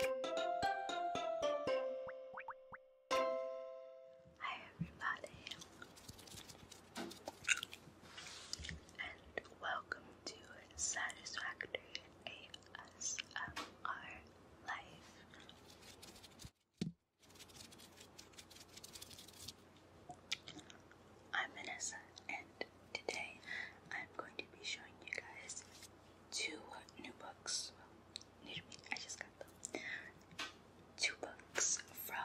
Hi everybody, and welcome to Satisfactory ASMR Life. I'm Vanessa, and today I'm going to be showing you guys two new books. I just got Two books from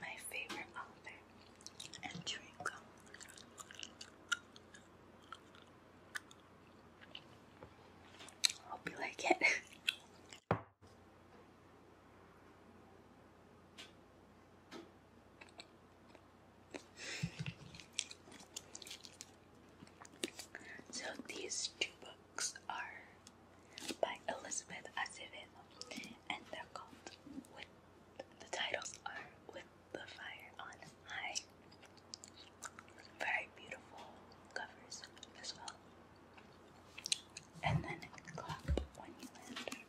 my favorite author and chewing Hope you like it. So these two books are by Elizabeth Acevedo, and they're called "With." The titles are "With the Fire on High." Very beautiful covers as well. And then clap when you land.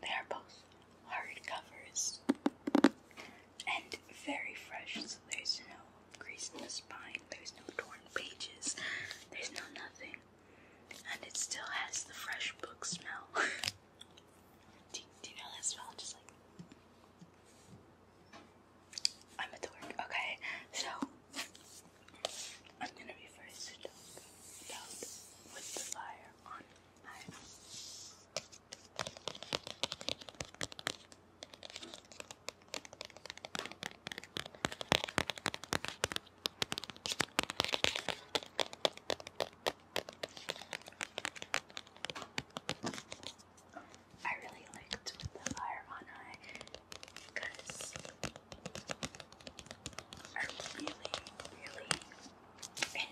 They are both hard covers and very fresh, so there's no crease in the spine, there's no torn pages, there's no nothing. And it still has the fresh book smell. do, you know that smell? Just like. I'm a dork. Okay, so I'm going to be first to talk with the fire on I really liked the fire on eye because I really, really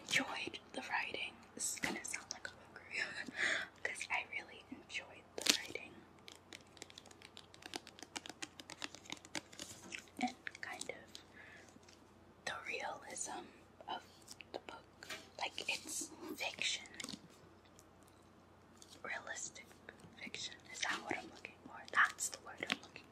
enjoyed the writing. This is gonna sound like a book because I really enjoyed the writing and kind of the realism of the book. Like, it's fiction, Realistic fiction. Is that what I'm looking for? That's the word I'm looking for.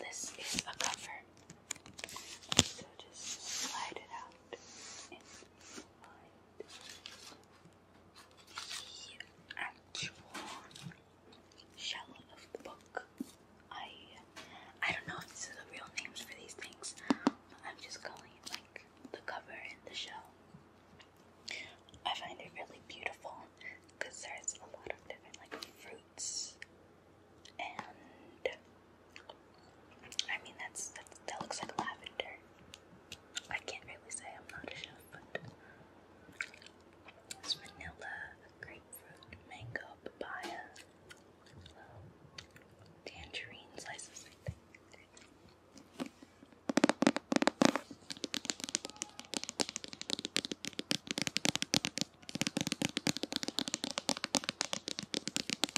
This is a cover, so just slide it out and slide the actual shell of the book. I I don't know if these are the real names for these things, I'm just calling it like the cover and the shell. I find it really beautiful because there's a lot of different like fruits and I mean, that's, that looks like lavender. I can't really say I'm not a but it's vanilla, grapefruit, mango, papaya, tangerine slices, I think.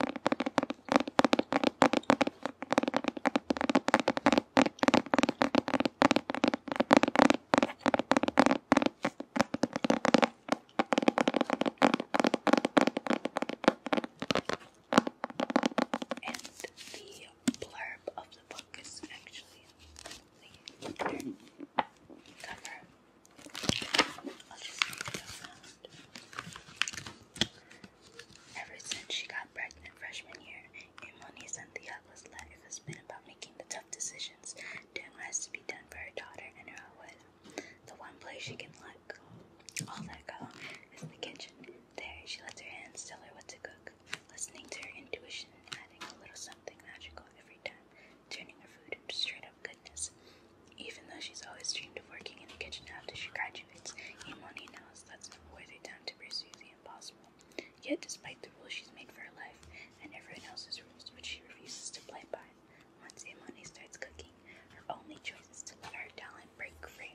And the blurb of the book is actually the cover. Ever since she got pregnant freshman year, Imoni Santiago's life has been about making the tough decisions, doing what has to be done for her daughter and her abuela. The one place she can let go, all that go, is the kitchen. There, she lets her hands tell her what to cook, listening to her intuition and adding a little something magical every time, turning her food into straight up goodness. Even though she's always dreamed of working in the kitchen after she graduates, Imoni knows that's not worth it time to pursue the impossible. Yet, despite the rules she's made for her life and everyone else's rules, which she refuses to play by, once Imoni starts cooking, her only choice is to let her talent break free.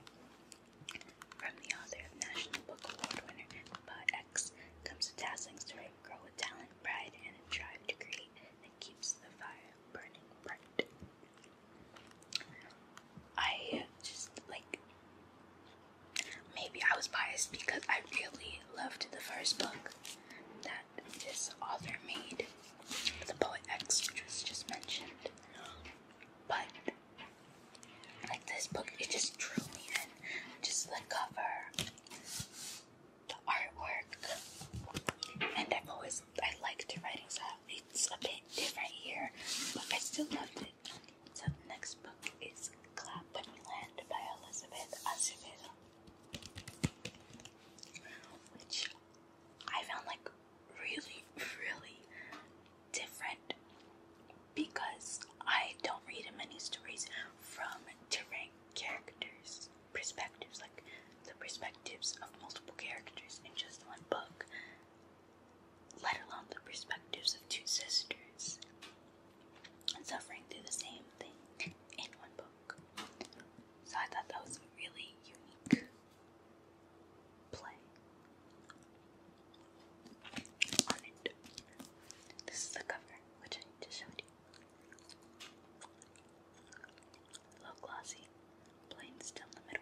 From the author of National Book Award winner Pa X comes a dazzling story of a girl with talent, pride, and a drive to create that keeps the fire burning bright. I just like maybe I was biased because I really loved the first book that this author made, The Poet X, which was just mentioned. But like this book, it just drew me in. Just the cover, the artwork, and I've always I liked writing, so I it's a bit different here, but I still loved it. So next book is Clap by Elizabeth Acevedo, which I found like really, really different because I don't read many stories from different characters' perspectives, like the perspective perspectives of multiple characters in just one book, let alone the perspectives of two sisters suffering through the same thing in one book. So I thought that was a really unique play This is the cover, which I just showed you a little glossy, plain still the middle.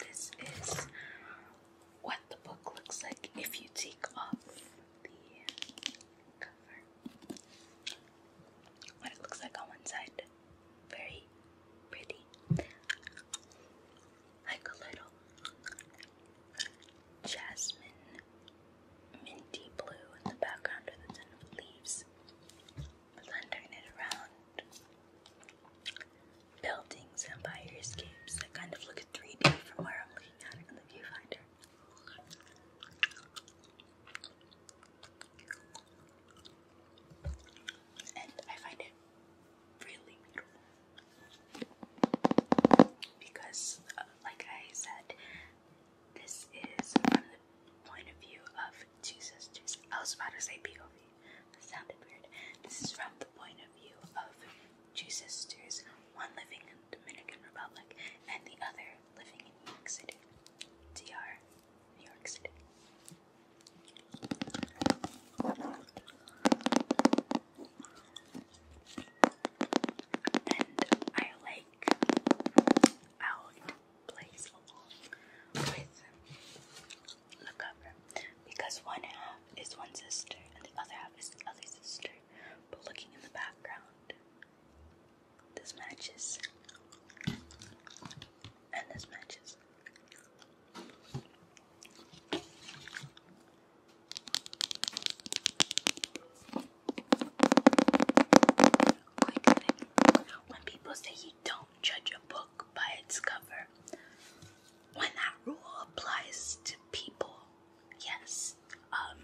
This is what the book looks like if you take off the cover. What it looks like on one side very pretty, like a little jasmine minty blue in the background with a ton of leaves, blending it around buildings and bioescapes that kind of look 3D from where I'm looking at in the viewfinder and I find it really beautiful because, uh, like I said, this is from the point of view of two sisters. I was about to say POV, sounded weird. This is from the point of view of two sisters, one living in the Dominican Republic and the other living in New York City. DR, New York City. And I like out plays with the cover because one half is one sister and the other half is the other sister. But looking in the background, this matches. When people say you don't judge a book by its cover, when that rule applies to people, yes, um,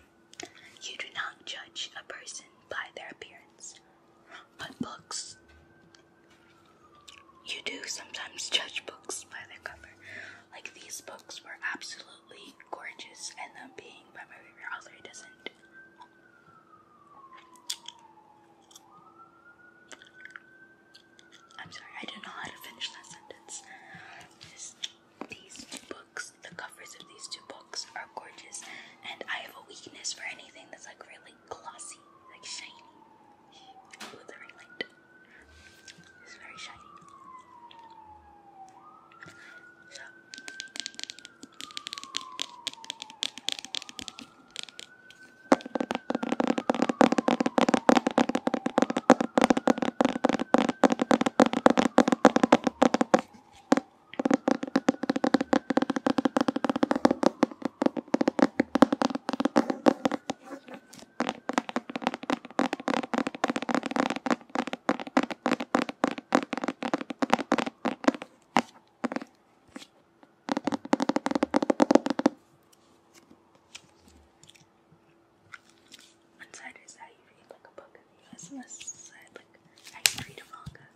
you do not judge a person by their appearance. But books you do sometimes judge books by their cover. Like these books were absolutely gorgeous, and them being by my favorite author doesn't. I'm sorry, I don't know how to finish that sentence. these books, the covers of these two books are gorgeous, and I have a weakness for anything that's like really like glossy, like shiny. With the ring light. It's very shiny. One side is how you read like a book the US side uh, like how you read a manga.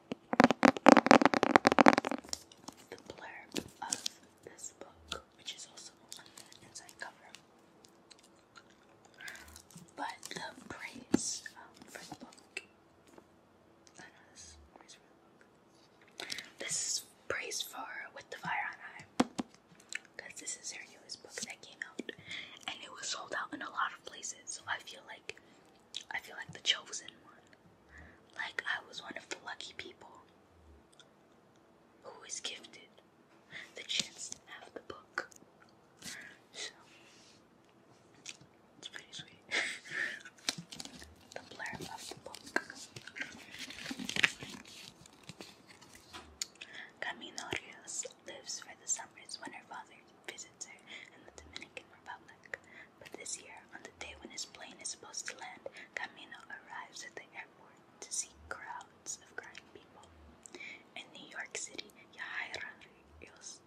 the blurb of this book, which is also on the inside cover. But the praise um, for the book, this praise for With the Fire on High, because this is her newest book that came out, and it was sold out in a lot of places. So I feel like I feel like the chosen one like I was one of the lucky people who is gifted the chance to have the book. So, it's pretty sweet. the blurb of the book. Caminorios lives for the summers when her father visits her in the Dominican Republic. But this year, on the day when his plane is supposed to land, Camino arrives at the airport to see crowds of crying people. In New York City, Yahaira Rios,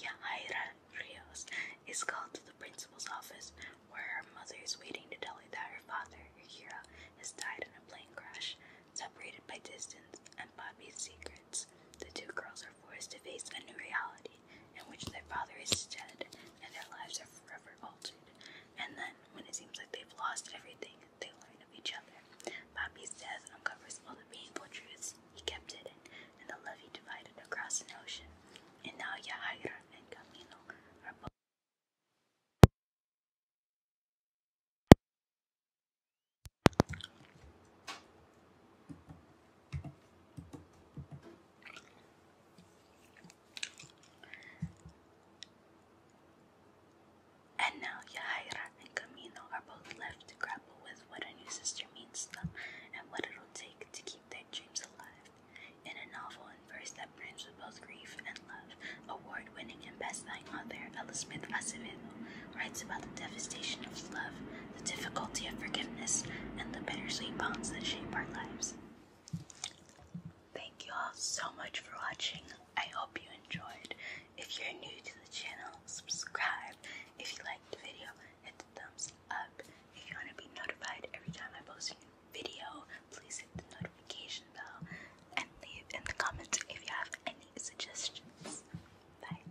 Yahaira Rios is called to the principal's office, where her mother is waiting to tell her that her father, Hira, has died in a plane crash. Separated by distance and Bobby's secrets, the two girls are forced to face a new reality in which their father is dead and their lives are forever altered. And then, when it seems like they've lost everything, they learn of each other. Poppy's death uncovers all the painful truths he kept hidden, and the love he divided across an ocean. And now Yahaira and Camino are both. And now Yahira and Camino are both left to grapple with what a new sister means to them and what it'll take to keep their dreams alive. In a novel and verse that blends with both grief and love, award-winning and best-selling author Ella Smith Acevedo writes about the devastation of love the difficulty of forgiveness, and the bittersweet bonds that shape our lives. Thank you all so much for watching. I hope you enjoyed. If you're new to the channel, subscribe. If you liked the video, hit the thumbs up. If you want to be notified every time I post a new video, please hit the notification bell and leave in the comments if you have any suggestions. Bye.